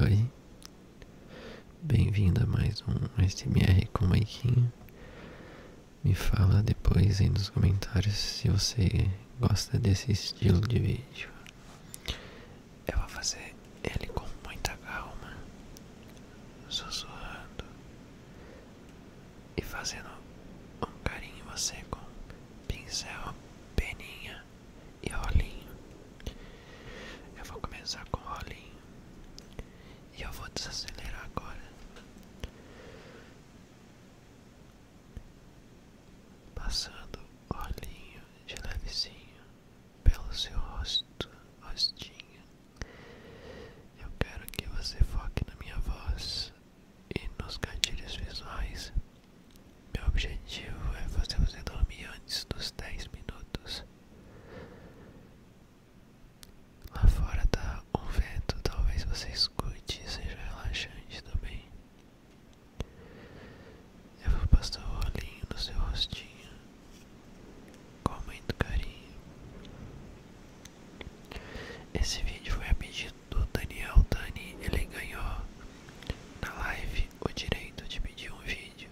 Oi, bem-vindo a mais um SMR com Maikinho. Me fala depois aí nos comentários se você gosta desse estilo de vídeo. Eu vou fazer ele com muita calma, sussurrando, e fazendo um carinho você com pincel, peninha e olhinho Eu vou começar com olhinho e eu vou desacelerar agora. Passando olhinho de levezinho pelo seu rosto, rostinho. Eu quero que você foque na minha voz e nos cantilhos visuais. Meu objetivo é fazer você dormir antes dos 10 minutos. Lá fora tá um vento, talvez você escute e seja relaxante também. Eu vou passar o olhinho no seu rostinho com muito carinho. Esse vídeo foi a pedido do Daniel Dani, ele ganhou na live o direito de pedir um vídeo.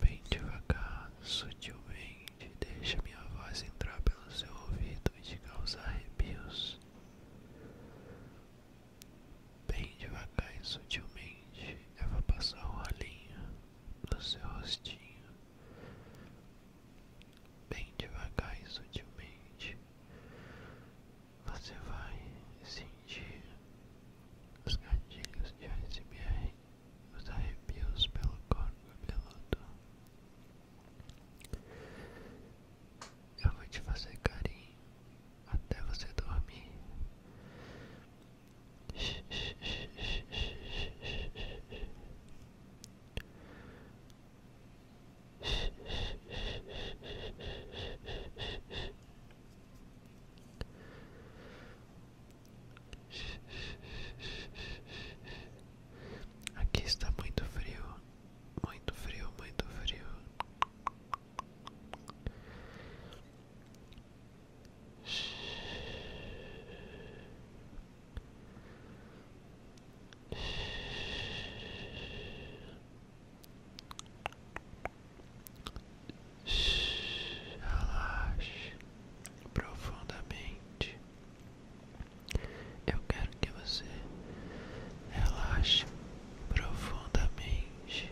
Bem devagar, sutilmente, deixa minha voz entrar pelo seu ouvido e te causar arrepios. Bem devagar e sutilmente, eu passar o olhinho no seu rostinho, bem devagar e sutilmente, você vai sentir os gatilhos de ASMR, os arrepios pelo corpo cabeludo. Eu vou te fazer carinho até você dormir. Aqui está muito frio, muito frio, muito frio. Relaxe profundamente. Eu quero que você relaxe profundamente.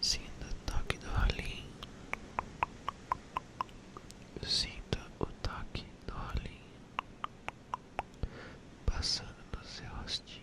Sinta o toque do rolim. Sinta o toque do rolim passando no seu rostinho.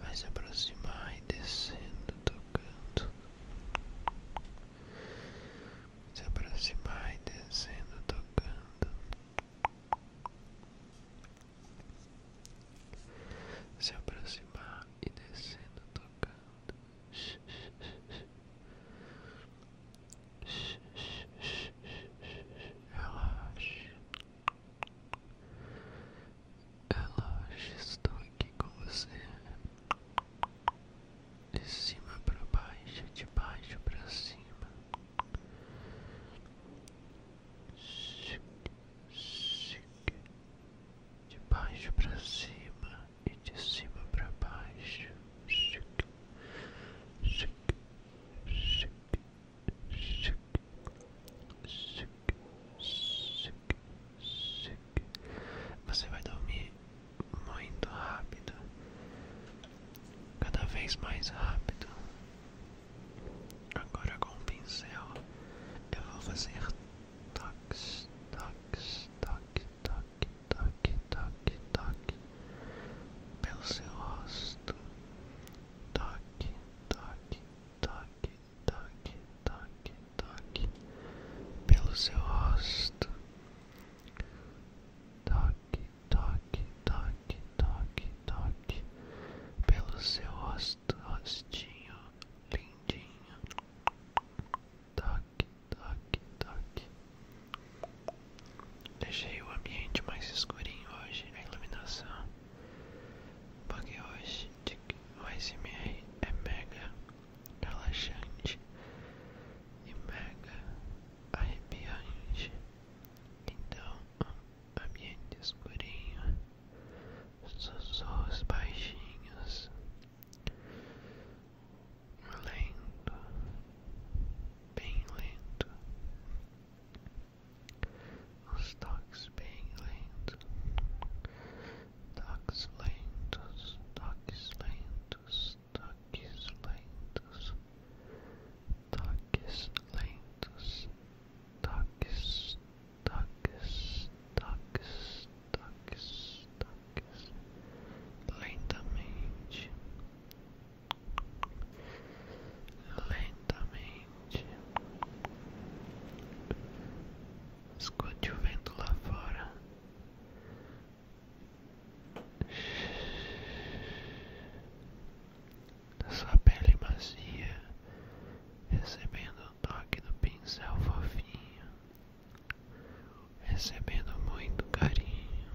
Vai se aproximar e descendo, tocando. Se aproximar e descendo, tocando. Se aproximar e descendo, tocando. Relaxe. Relaxe, estou aqui com você. De cima para baixo, de baixo para cima. De baixo para cima e de cima para baixo. Chique, chique, você vai dormir muito rápido, cada vez mais rápido. Agora com o pincel eu vou fazer toques, toques, toques, toques, toque, toque, toque, toque pelo seu rosto. Toque, toque, toque, toque, toque, toque pelo seu rosto. Toque, toque, toque, toque, toque pelo seu rosto, rostinho lindinho. Toque, toque, toque. Deixei o ambiente mais escurinho hoje, a iluminação, porque hoje o ASMR é mega relaxante e mega arrepiante. Então, ambiente escurinho, sussurros baixinhos. lento, bem lento, os toques bem lentos, toques lentos, toques lentos, toques lentos, toques lentos, toques, toques, toques, toques, lentamente, lentamente. Escute o vento lá fora. Da sua pele macia, recebendo o toque do pincel fofinho recebendo muito carinho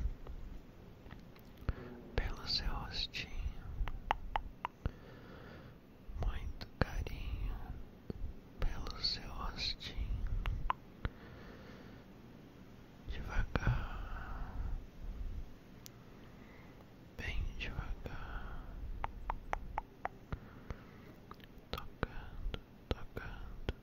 pelo seu rostinho, muito carinho pelo seu rostinho, devagar, bem devagar, tocando, tocando.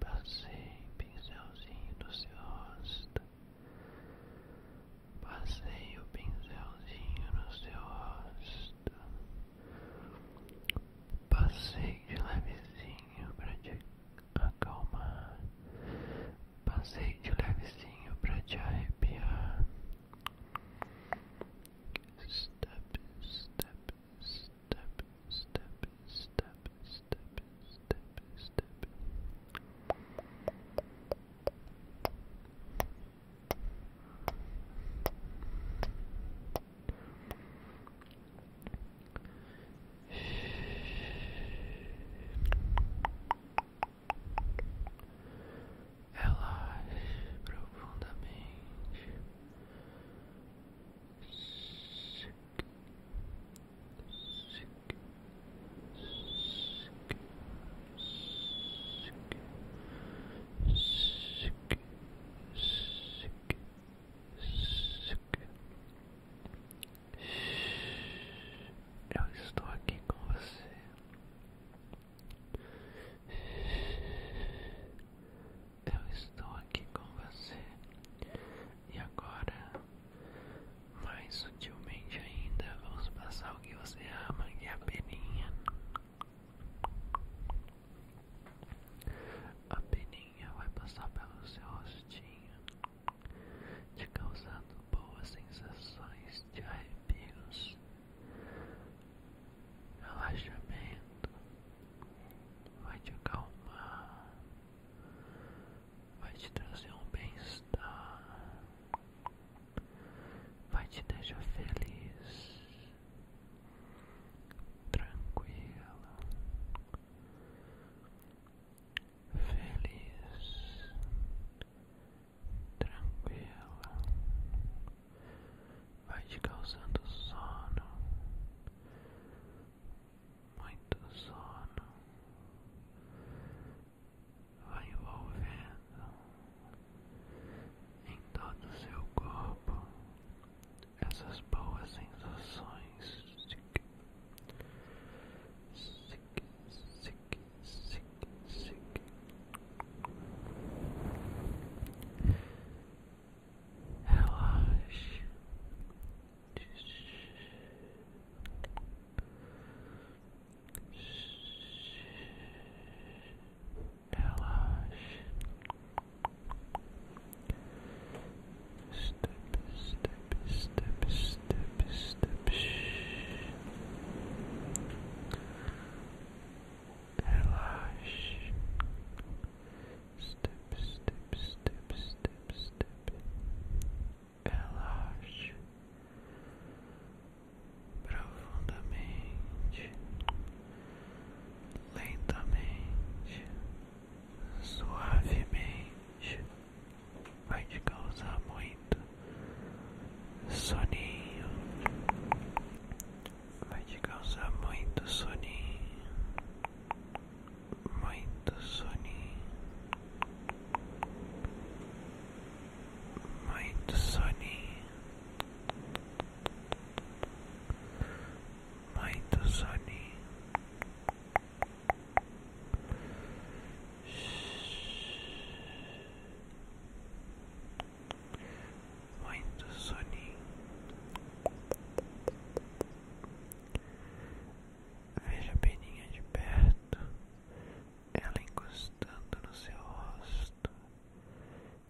Passei pincelzinho no seu rosto. Passei o pincelzinho no seu rosto. Passei de levezinho pra te acalmar. Passei de levezinho pra te arrepiar. Step, step, step, step, step, step, step, step ela profundamente. Eu estou aqui com você. Eu estou aqui com você. E agora, mais sutilmente ainda, vamos passar o que você ama, e é a peninha. A peninha vai passar pelo seu rostinho, te causando boas sensações de arrepios, relaxamento, vai te acalmar, vai te trazer um bem-estar vai te deixar feliz, tranquila, feliz, tranquila. vai te causando sono, muito sono. Vai envolvendo em todo o seu corpo essas boas sensações. Sique, sique, sique, sique, sique. Relaxe. Relaxe. step, step, step, Relax. Step, step, step, step, step. Relax. Relax. profundamente, lentamente, suavemente, vai te causar muito soninho, vai te causar muito soninho, muito soninho. Muito soninho, muito soninho. Muito soninho. Veja a peninha de perto, ela encostando no seu rosto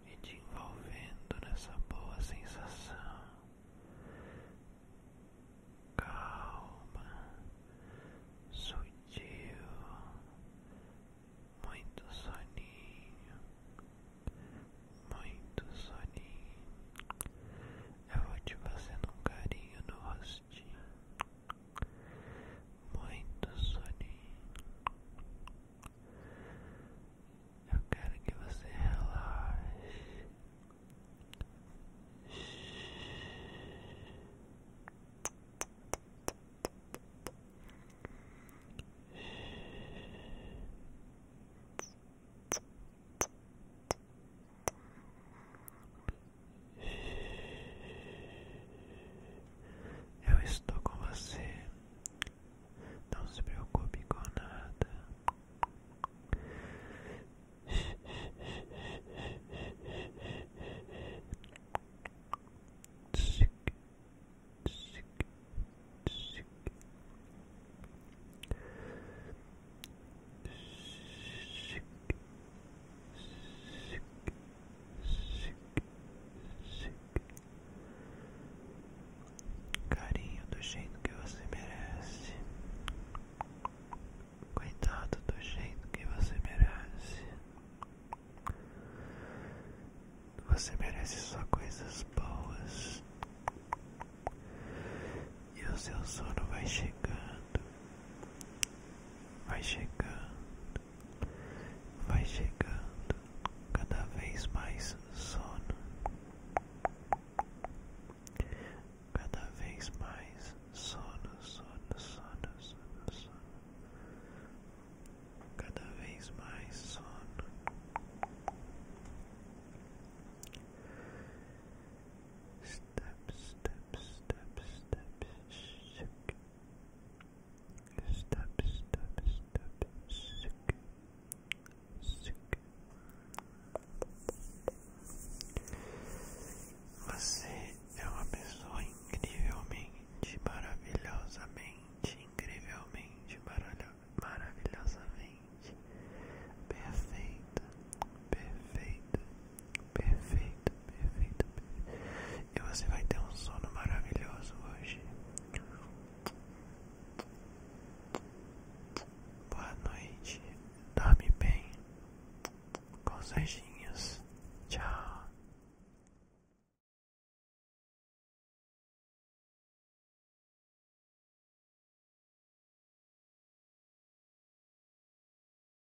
e te envolvendo nessa boa sensação. Calma, sutil, muito soninho, muito soninho. Eu vou te fazendo um carinho no rostinho muito soninho. Eu quero que você relaxe. Eu estou com você. Não se preocupe com nada. Carinho do jeito que você merece. Cuidado do jeito que você merece. Você merece só coisas boas. E o seu sono vai chegando. Vai chegando. vai chegando cada vez mais sono, cada vez mais sono, sono, sono, sono, cada vez mais sono. Step, step, step, step, shake, step, step, step, sick, sick. Você é uma pessoa incrivelmente, maravilhosamente, incrivelmente, maravilhosamente perfeita, perfeita, Perfeito, perfeito, perfeito. E você vai ter um sono maravilhoso hoje. Boa noite. Dorme bem. Com sejinhas. Tchau.